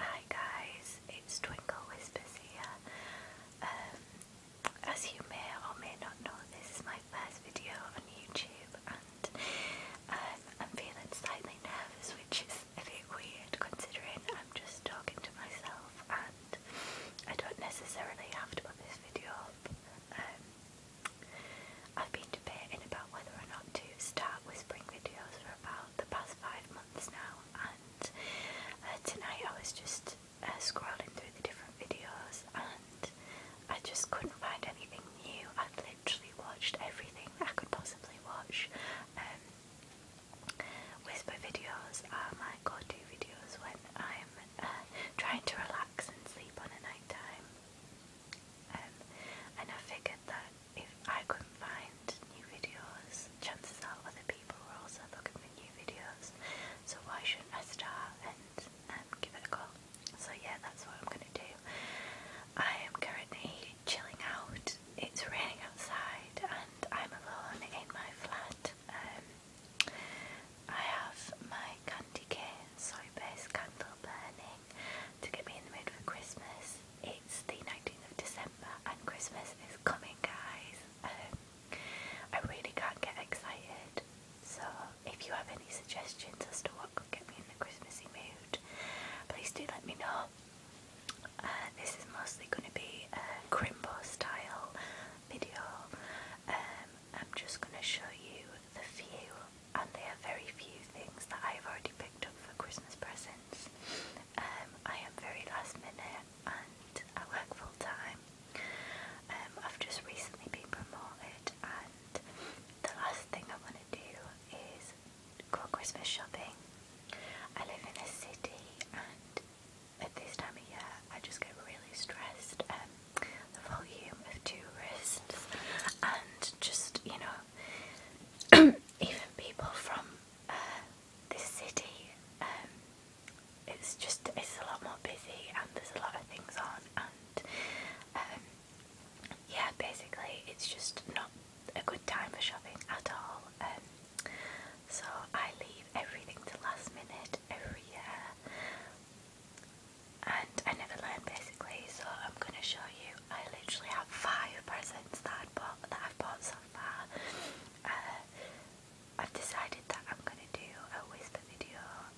Hi guys, it's Twinkle Whispers here. Um, as you may or may not know, this is my first video on YouTube and um, I'm feeling slightly nervous which is a bit weird considering I'm just talking to myself and I don't necessarily have to put this video up. Um, I've been debating about whether or not to start whispering videos for about the past five months now, and uh, tonight I was just uh, scrolling through the different videos and I just couldn't find anything new. I literally watched everything I could possibly watch. Um, whisper videos are my go-to videos when I'm uh, trying to relax and sleep on a night time. Um, and I figured that if I couldn't find new videos, chances are other people were also looking for new videos. So why shouldn't I start and um, give it a go? So yeah, that's what I'm gonna do. I am currently chilling out. It's raining outside, and I'm alone in my flat. Um, I have my candy cane soy candle burning to get me in the mood for Christmas. It's the 19th of December and Christmas is coming, guys. Um, I really can't get excited. So, if you have any suggestions as to what could get me in the Christmassy mood, please do let me know. Uh, this is mostly going to be a crimbo style video. Um, I'm just going to show you the view and there are very few things that I've already picked up for Christmas presents. Um, I am very last minute and I work full time. Um, I've just recently been promoted and the last thing I want to do is go Christmas shopping. I live in a city and at this time of year I just get really stressed um, the volume of two wrists, and just you know, even people from uh, the city, um, it's just it's a lot more busy, and there's a lot of things on, and um, yeah, basically it's just not a good time for shopping at all. Um, so I leave everything to last minute every year and I never learned basically, so I'm gonna show you. I literally have five presents that I bought that I've bought so far. Uh, I've decided that I'm gonna do a whisper video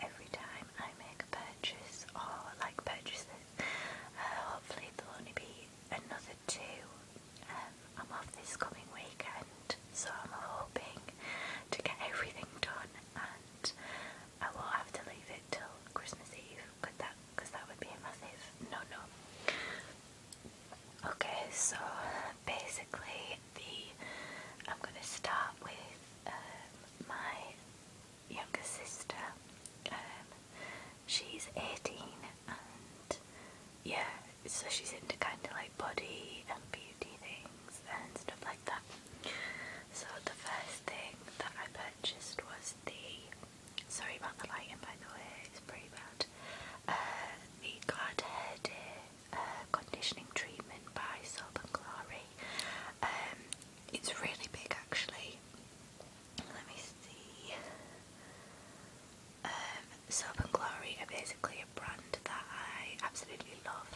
every time I make a purchase or like purchases. Uh, hopefully there'll only be another two. Um, I'm off this coming weekend, so I'm hoping to get everything done and I will have to leave it till Christmas Eve because that, cause that would be a massive no no. Okay, so basically the I'm gonna start with um, my younger sister. Um, she's 18 and yeah, so she's into kind of like body and beauty things and stuff like that. So the first thing that I purchased was the sorry about the lighting by the way, it's pretty bad. Uh, the Glad Hair uh, conditioning treatment by Soap and Glory. Um, it's really big actually. Let me see. Um, Soap and Glory are basically a brand that I absolutely love.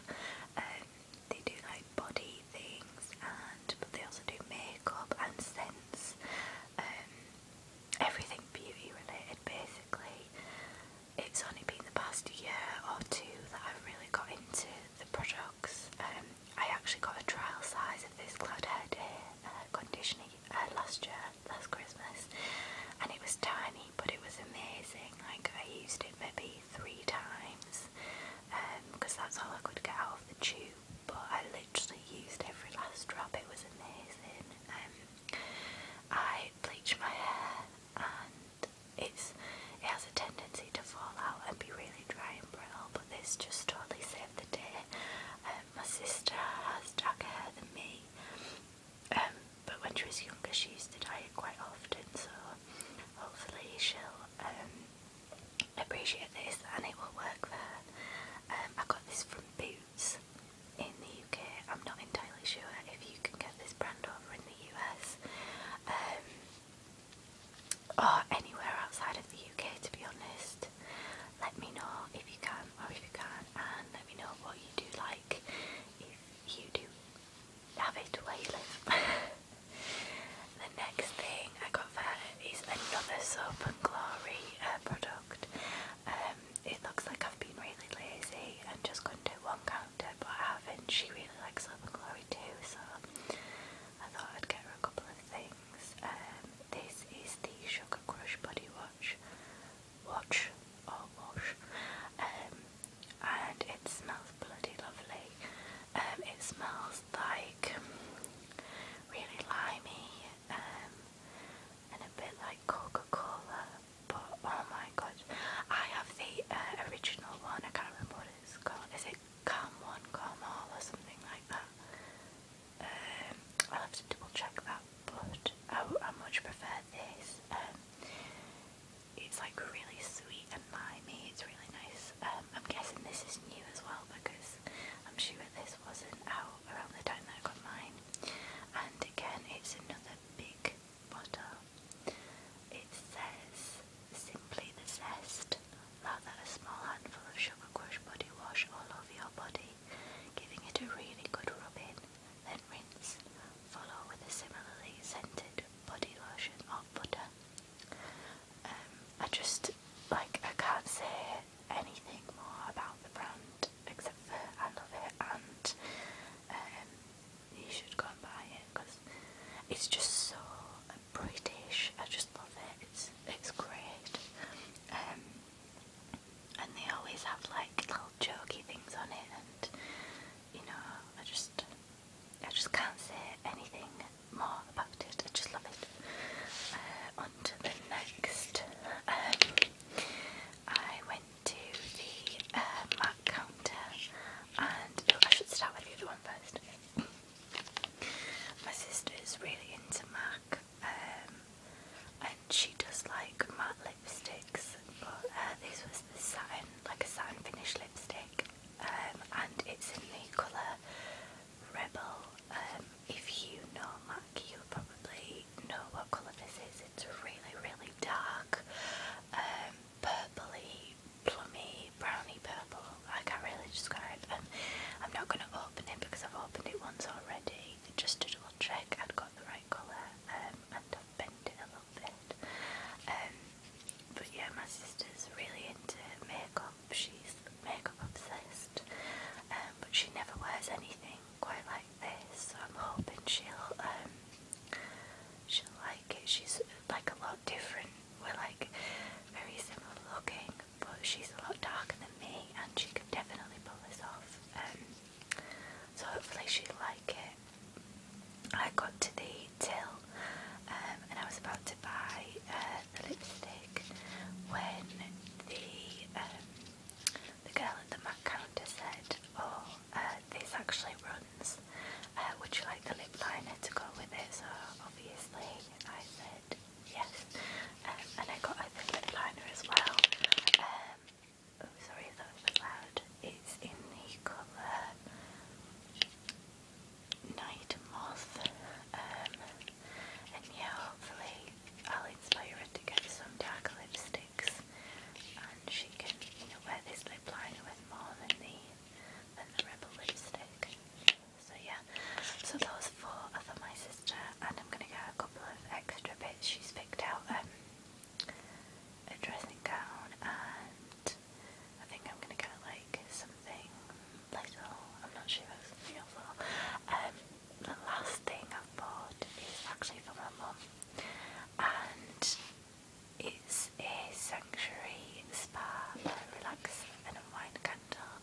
Um, they do like body things, and but they also do makeup and scents, um, everything beauty related basically. It's only been the past year or two that I've really got into the products. Um, I actually got a trial size of this Cloud Hair Day uh, conditioner uh, last year, last Christmas, and it was tiny but it was amazing. Like I used it maybe three times because um, that's all I could get out of the tube. But I literally used every last drop. It was amazing. Um, I bleached my hair and it's it has a tendency to fall out and be really dry and brittle. But this just totally saved the day. Um, my sister has darker hair than me. Um, but when she was younger, she used to dye it quite often, so hopefully she'll um, appreciate this and it will work for her. Um, I got this from Boots in the UK. I'm not entirely sure if you can get this brand over in the US or anywhere outside of the UK, to be honest. Let me know if you can or if you can't, and let me know what you do like if you do have it where you live. the next thing I got for her is another Soap and Glory uh, product. Um, it looks like I've been really lazy and just gone do one counter, but I haven't. She really likes Soap and Glory too, so I thought I'd get her a couple of things things. Um, this is the Sugar Crush Body Wash, watch or oh, wash, um, and it smells bloody lovely. Um, it smells like really limey um, and a bit like Coca-Cola, but oh my god, I have the uh, original one. I can't remember what it's called. Is it Come One, Come All, or something like that? Um, i have to double check that, but I, much prefer this. Um, it's like really sweet and limey. It's really nice. Um, I'm guessing this is new as well because I'm sure this wasn't out around the time that I got mine. And again, it's another big bottle. It says simply the zest Lather a small handful of Sugar Crush body wash all over your body, giving it a really good rubbing, then rinse. Follow with a similarly scented body lotion or butter. Um, I just, like, I can't say anything more about the brand except for I love it and um, you should go and buy it because it's just so British. I just love it. It's it's great. Um, and they always have like little jokey things on it, and you know, I just I just can't say anything more about it. I just love it. Uh, on to the next. Um, I went to the uh, Mac counter, and oh, I should start with the other one first. My sister is really into MAC, um, and she does like matte lipsticks, but uh, this was the satin, like a satin finish lipstick, um, and it's in the colour Rebel. Um, if you know MAC, you'll probably know what colour this is. It's really, really dark, um, purpley plummy brownie purple, i can't really described. Um, I'm not going to open it because I've opened it once already, It just to double check i have got the right colour um, and I've bent it a little bit. Um, but yeah, my sister's really into makeup, she's makeup obsessed, um, but she never wears anything quite like this, so I'm hoping she'll, she'll like it. She's like a lot different we're like very similar looking, but she's a lot darker than me, and she could definitely pull this off. Um, so hopefully she'll like it. I got to the till, um, and I was about to buy uh, the lipstick when the um, the girl at the MAC counter said, "Oh, uh, this actually runs." Uh, would you like the lip liner to go with it? So obviously I said yes, um, and I got a lip liner as well. Um, oh, sorry, that was loud. It's in the colour Night Moth, um, and yeah, hopefully I'll inspire her to get some dark lipsticks, and she can, you know, wear this lip liner with more than the than the Rebel lipstick. So yeah, so those four are for my sister and I'm going to get a couple of extra bits. She's picked out um, a dressing gown and I think I'm going to get like something little, I'm not sure if it's real at the last thing i bought is actually for my mom, and it's a sanctuary spa where I relax and unwind candle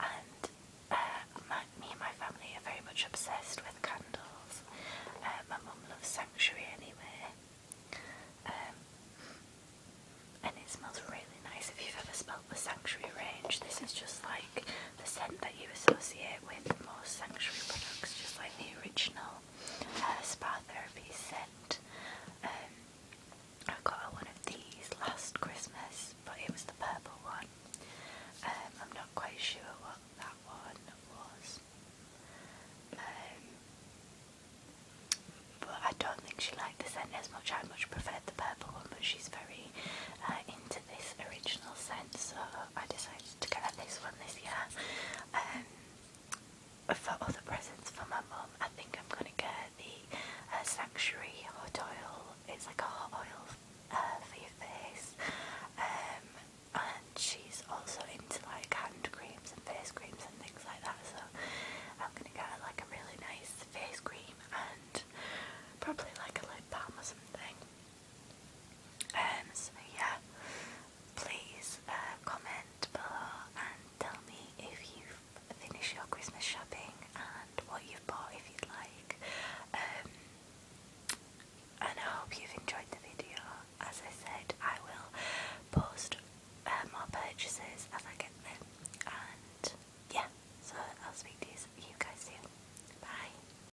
and uh, my, me and my family are very much obsessed with candles. Uh, my mum loves sanctuary anyway. Um, and it smells really nice. If you've ever smelled the sanctuary range, this is just like the scent that you associate with most sanctuary products, just like the original uh, spa therapy scent. Um, I got one of these last Christmas, but it was the purple one. Um, I'm not quite sure what that one was. Um, but I don't think she liked the scent as much. I much preferred the purple one, but she's very uh, into this original scent, so I decided to get her this one this year. Um, for other presents for my mom, I think I'm going to get her the uh, Sanctuary Hot Oil. It's like a hot oil uh, for your face. Um, and she's also into like hand creams and face creams and things like that. So I'm going to get like a really nice face cream and probably like a lip balm or something. Um, so yeah, please uh, comment below and tell me if you finish your Christmas shopping and what you've bought if you'd like. Um, and I hope you've enjoyed the video. As I said, I will post uh, more purchases as I get them. And yeah, so I'll speak to you guys soon. Bye.